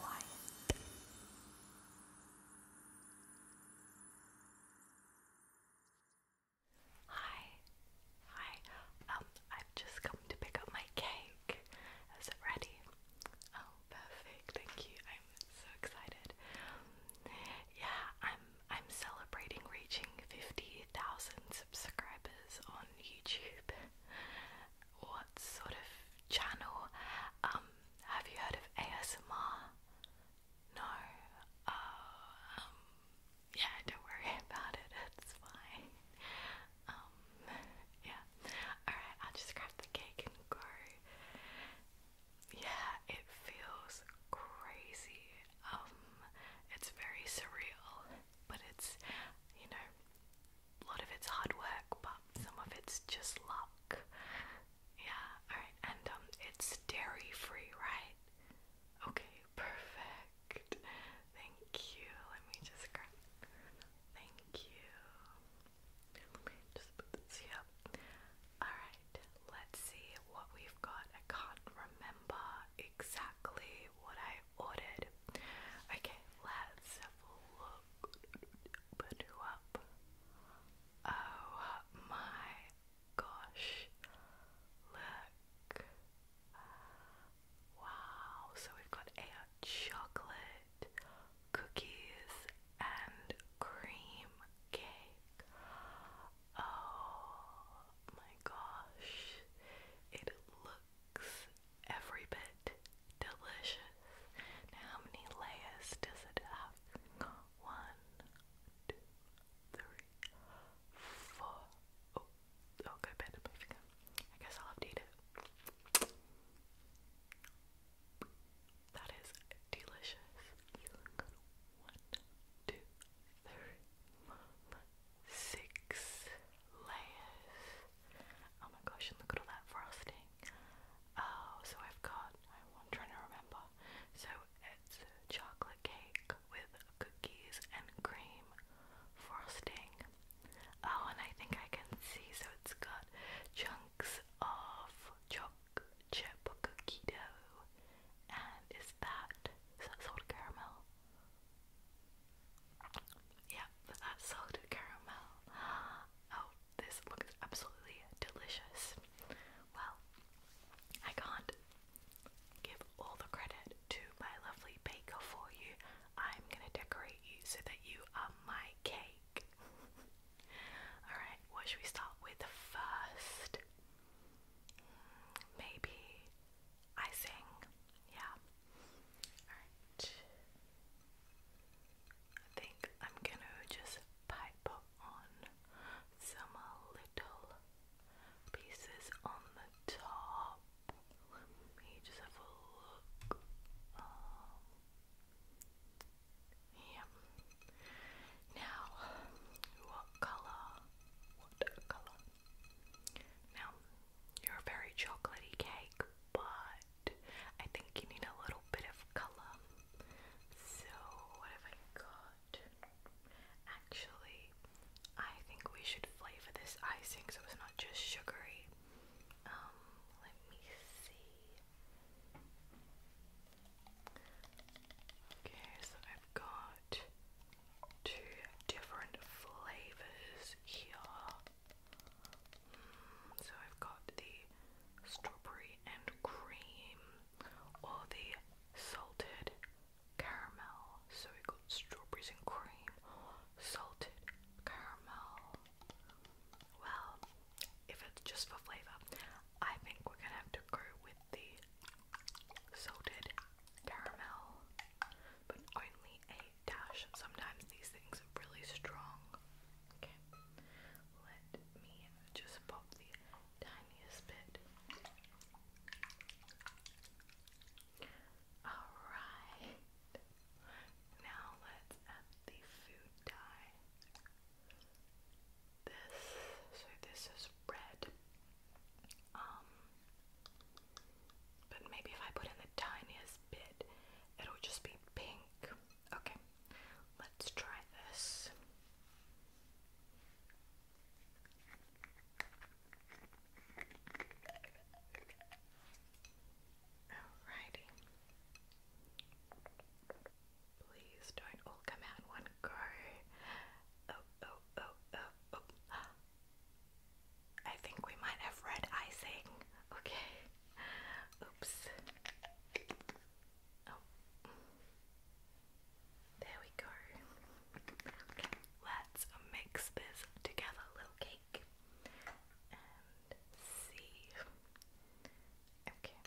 Hi, hi. Um, I've just come to pick up my cake. Is it ready? Oh, perfect. Thank you. I'm so excited. Um, yeah, I'm. I'm celebrating reaching fifty thousand subscribers on YouTube? what sort of channel? Um, have you heard of ASMR? No. Uh, um, yeah, don't worry about it. It's fine. Um, yeah. All right, just grab the cake and go. Yeah, it feels crazy. it's very surreal but it's, you know, a lot of it's hard work, but some of it's just luck. Yeah, alright, and um, it's dairy free, right? Okay, perfect. Thank you. Let me just grab. Thank you. just put this here. Alright, let's see what we've got. I can't remember exactly what I ordered. Okay, let's have a look. Put you up. Oh my gosh. Look. Wow, so we've got a chocolate, cookies, and cream cake. Oh my gosh, it looks looks every bit delicious. how many layers does it have? One, two, three, four. Oh, oh, go bend my finger. I guess I'll eat it. That is delicious. One, two, three, four, five, six layers. Oh my gosh, and look at all that frosting. Oh, so I've got, I'm trying to remember. So it's chocolate cake with cookies and cream frosting. Oh, and I think I can see, so it's got chunks of choc chip cookie dough. And is that, is that sort of caramel? Yeah, that salted caramel. Oh, this looks absolutely delicious. Well, I can't give all the credit to my lovely baker for you. I'm gonna decorate you so that you are my cake. Alright, what should we start with first? Hmm, maybe I sing. Yeah. Alright. I think I'm gonna just pipe on some little pieces on the top. Let me just have a look. Um, yeah. Now, what color? What color? Now, you're a very chocolatey cake, but I think you need a little bit of color. So, what have I got? Actually, I think we should flavor this icing so it's not just sugary. Um, let me see. Okay, so I've got two different flavors here. Mm, so I've got the strawberry and cream or the salted caramel. So we got strawberries and cream salted caramel. Well, if it's just for flavour, I think we're gonna have to go with the salted caramel but only a dash. Sometimes these things are really strong. Okay, let me just pop the tiniest bit. Alright, now let's add the food dye. This, so this is red. Um, but maybe if I put in the tiniest bit, it'll just be pink. Okay, let's try this. Alrighty. Please don't all come out one go. Oh, oh, oh, oh, oh. I think we might have red icing. Okay. Oops. Oh. There we go. let's mix this together, little cake. And see. Okay.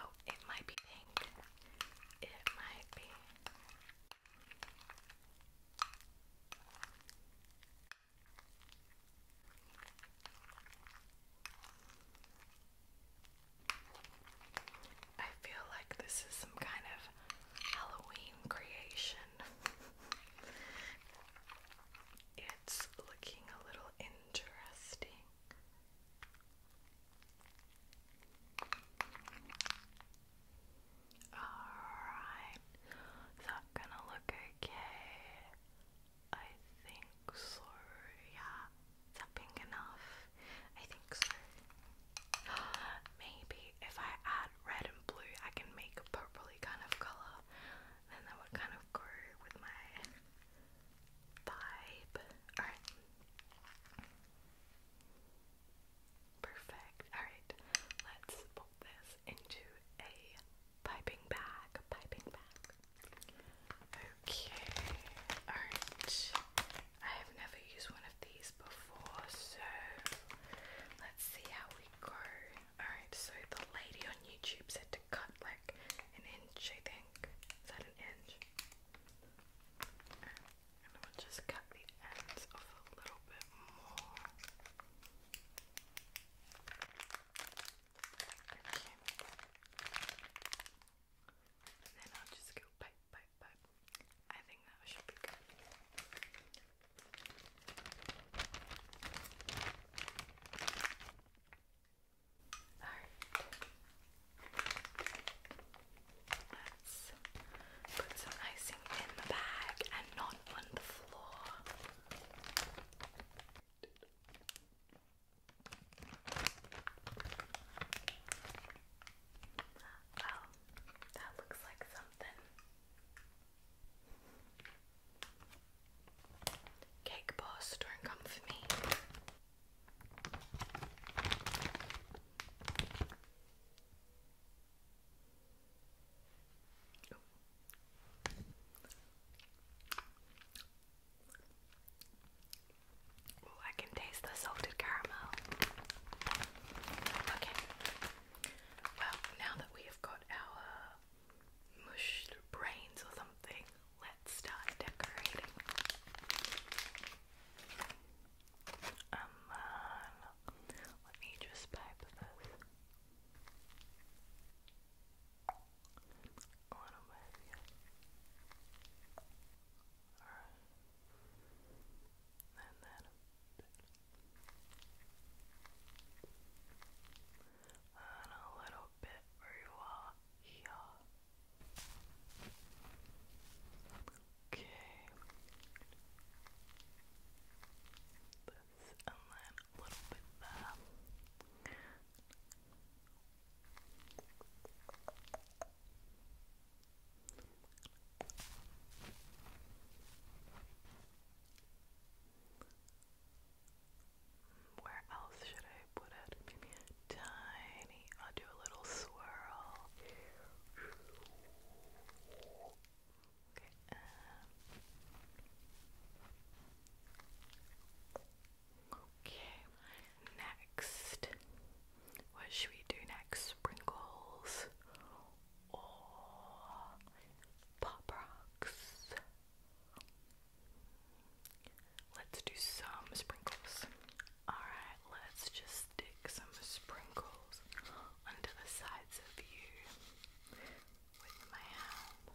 Oh, it might be pink. It might be. I feel like this is some kind of Halloween creation. it's looking a little interesting. Alright, is that gonna look okay? I think so, yeah. Is that pink enough? I think so. Maybe if I add red and blue, I can make a purpley kind of color. Then that would kind of go with my vibe. Alright. Perfect. Alright, let's pop this into a piping bag. Piping bag. Okay. Alright. I have never used one of these before, so let's see how we go. Alright, so the lady on YouTube said to cut like an inch, I think. Is that an inch? And we'll just cut the ends off a little bit more. And then I'll just go pipe, pipe, I think that should be good. Alright. Let's put some icing in the bag and not on the floor. Well, that looks like something. Cake boss, don't come for me. I can taste the salted caramel. Okay. Well, now that we have got our mushed brains or something, let's start decorating. Um, let me just pipe this. A little bit. Alright. And then and a little bit where you are Okay. This and then a little bit there. Where else should I put it? tiny. I'll do a little swirl. Okay. Um, next, what should we do next? Sprinkles or pop rocks? Let's do some sprinkles. Alright, let's just stick some sprinkles onto the sides of you with my hand.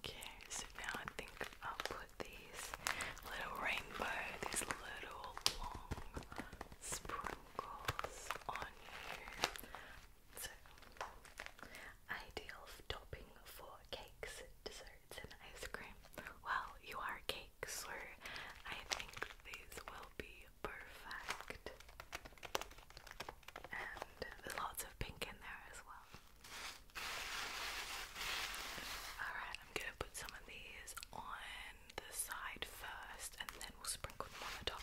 Okay, so now I think I'll put these little rainbow, these little long sprinkles on you. So, ideal topping for cakes, desserts, and ice cream. Well, you are cake, so I think these will be perfect. And lots of pink in there as well. Alright, I'm gonna put some of these on the side first and then we'll sprinkle them on the top.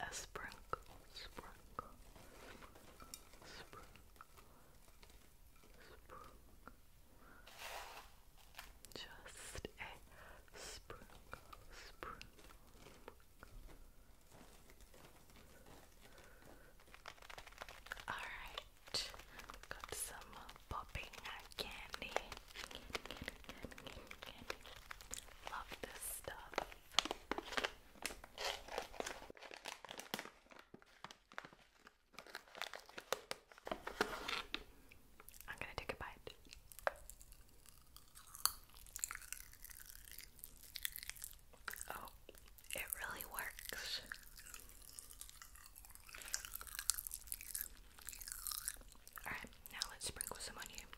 a sprinkle, sprinkle, sprinkle, sprinkle, Just a sprinkle, sprinkle. All right, got some popping candy. Love this stuff. I'm gonna take a bite. Oh, it really works. Alright, now let's sprinkle some on you.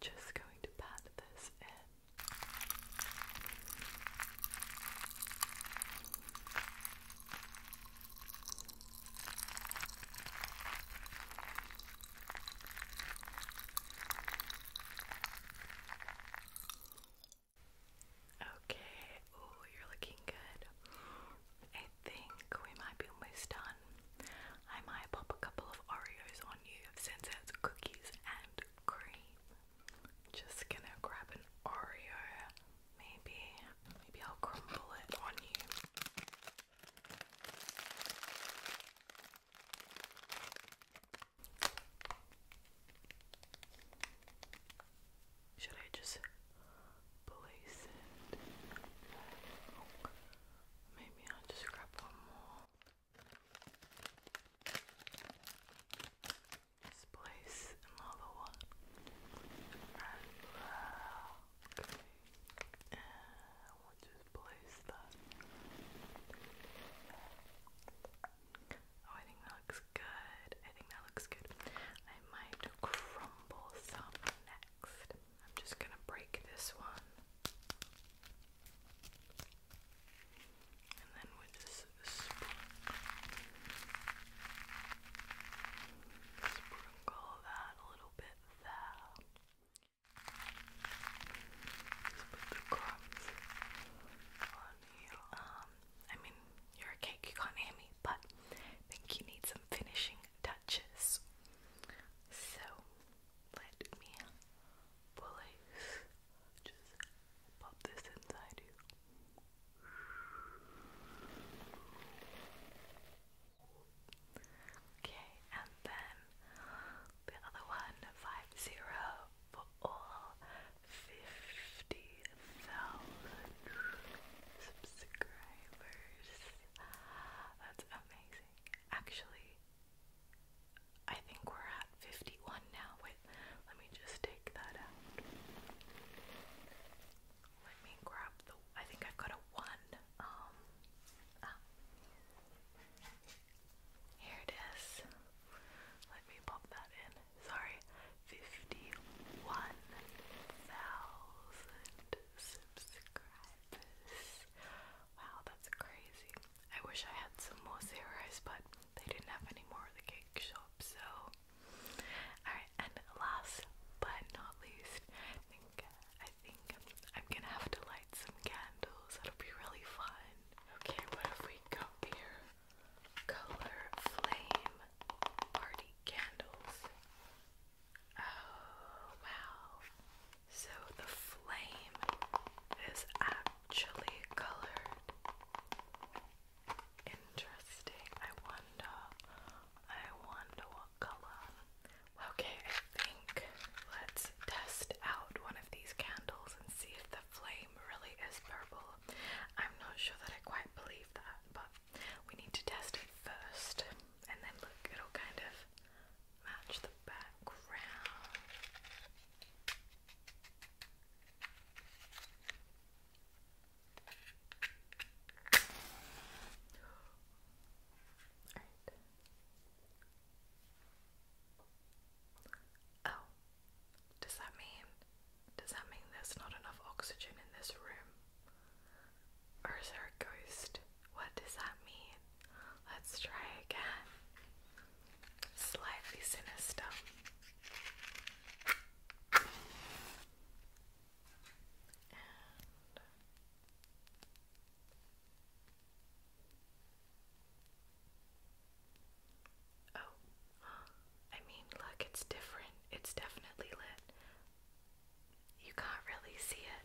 Just going to pat this in. Okay, oh, you're looking good. I think we might be almost done. I might pop a couple of Oreos on you since it's cookies and cream. Just gonna grab an Oreo. Maybe, maybe I'll crumble it on you. Should I just place it? Maybe i just grab one more. place another one. Uh, and we'll just place that. Oh, I think that looks good. I think that looks good. I might crumble some next. I'm just gonna break this one. And then with this sprinkle, sprinkle that a little bit there. Just on here. Um, I mean, you're a cake, you can't hear me, but think you need some finishing touches. So let me pull loose. Just pop this inside you. Okay, and then the other one, five zero all 50,000 subscribers. That's amazing. Actually, I think we're at 51 now. Wait, let me just take that out. Let me grab the. I think I've got a 1. Um. Ah. Here it is. Let me pop that in sorry, 51,000 subscribers. Wow, that's crazy. I wish I had some more zeros, but they didn't have any more of the cake shop, so. Alright, and last but not least, I think, I think I'm gonna have to light some candles. That'll be really fun. Okay, what have we got here? color flame party candles. Oh wow. So the flame is actually colored. Interesting. I wonder I wonder what color. Okay, I think let's test out one of these candles and see if the flame really is purple. I'm not sure that I quite believe that, but we need to test it first and then look, it'll kind of match the background. Right. Oh, does that mean does that mean there's not enough oxygen in this room? Or is there a ghost? What does that mean? Let's try again. Slightly sinister. Oh, I mean, look, it's different. It's definitely lit. You can't really see it.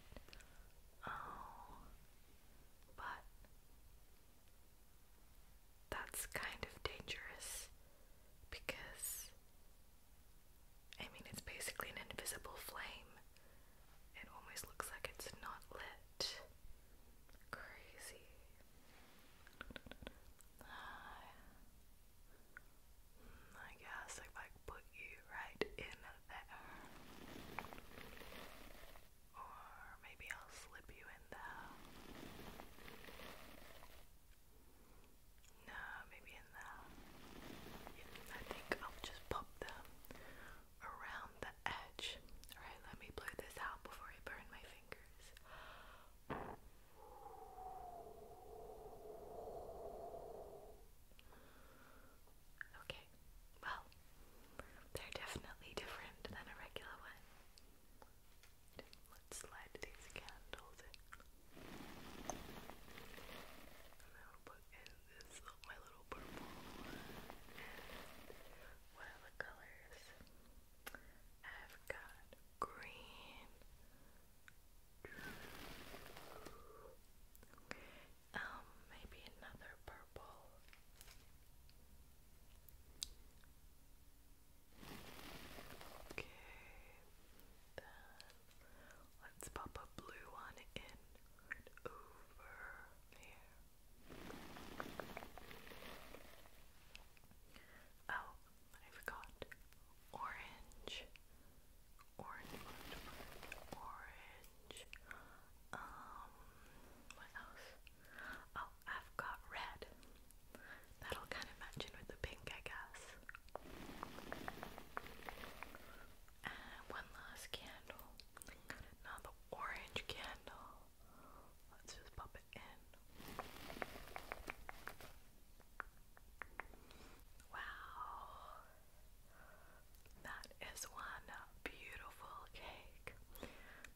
Oh, but that's kind of dangerous because I mean, it's basically an invisible flame. It almost looks like it's not lit. Crazy. I guess if I put you right in there, or maybe I'll slip you in there. No, maybe in there. I think I'll just pop them around the edge. Alright, let me blow this out before I burn my fingers. Okay, well, they're definitely different than a regular one. Let's light these candles And I'll put in this my little purple one and the colors. I've got green. Um, maybe another purple. Okay, then let's pop a blue one in over here. Oh, I forgot. Orange. orange, orange, orange. Um, what else? Oh, I've got red. That'll kind of match in with the pink, I guess. And one last candle. Now the orange candle. Let's just pop it in. Wow. That is one beautiful cake.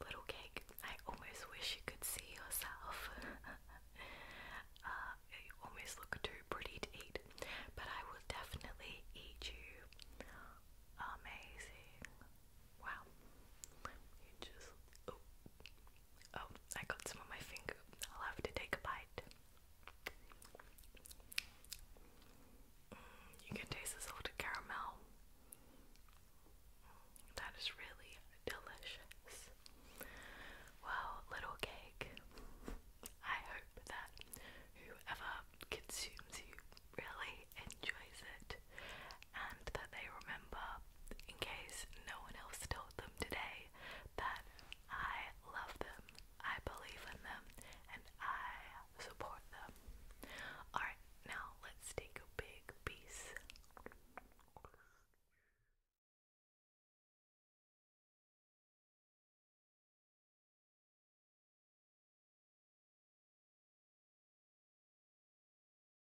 Little cake. I almost wish you could see yourself. you uh, almost look too pretty to eat, but I will definitely eat you. Amazing. Wow. You just oh oh I got some on my finger. I'll have to take a bite. Mm, you can taste the salted caramel. That is really delicious. Well, little cake. I hope that whoever consumes you really enjoys it and that they remember, in case no one else told them today, that I love them, I believe in them, and I support them. Alright, now let's take a big piece.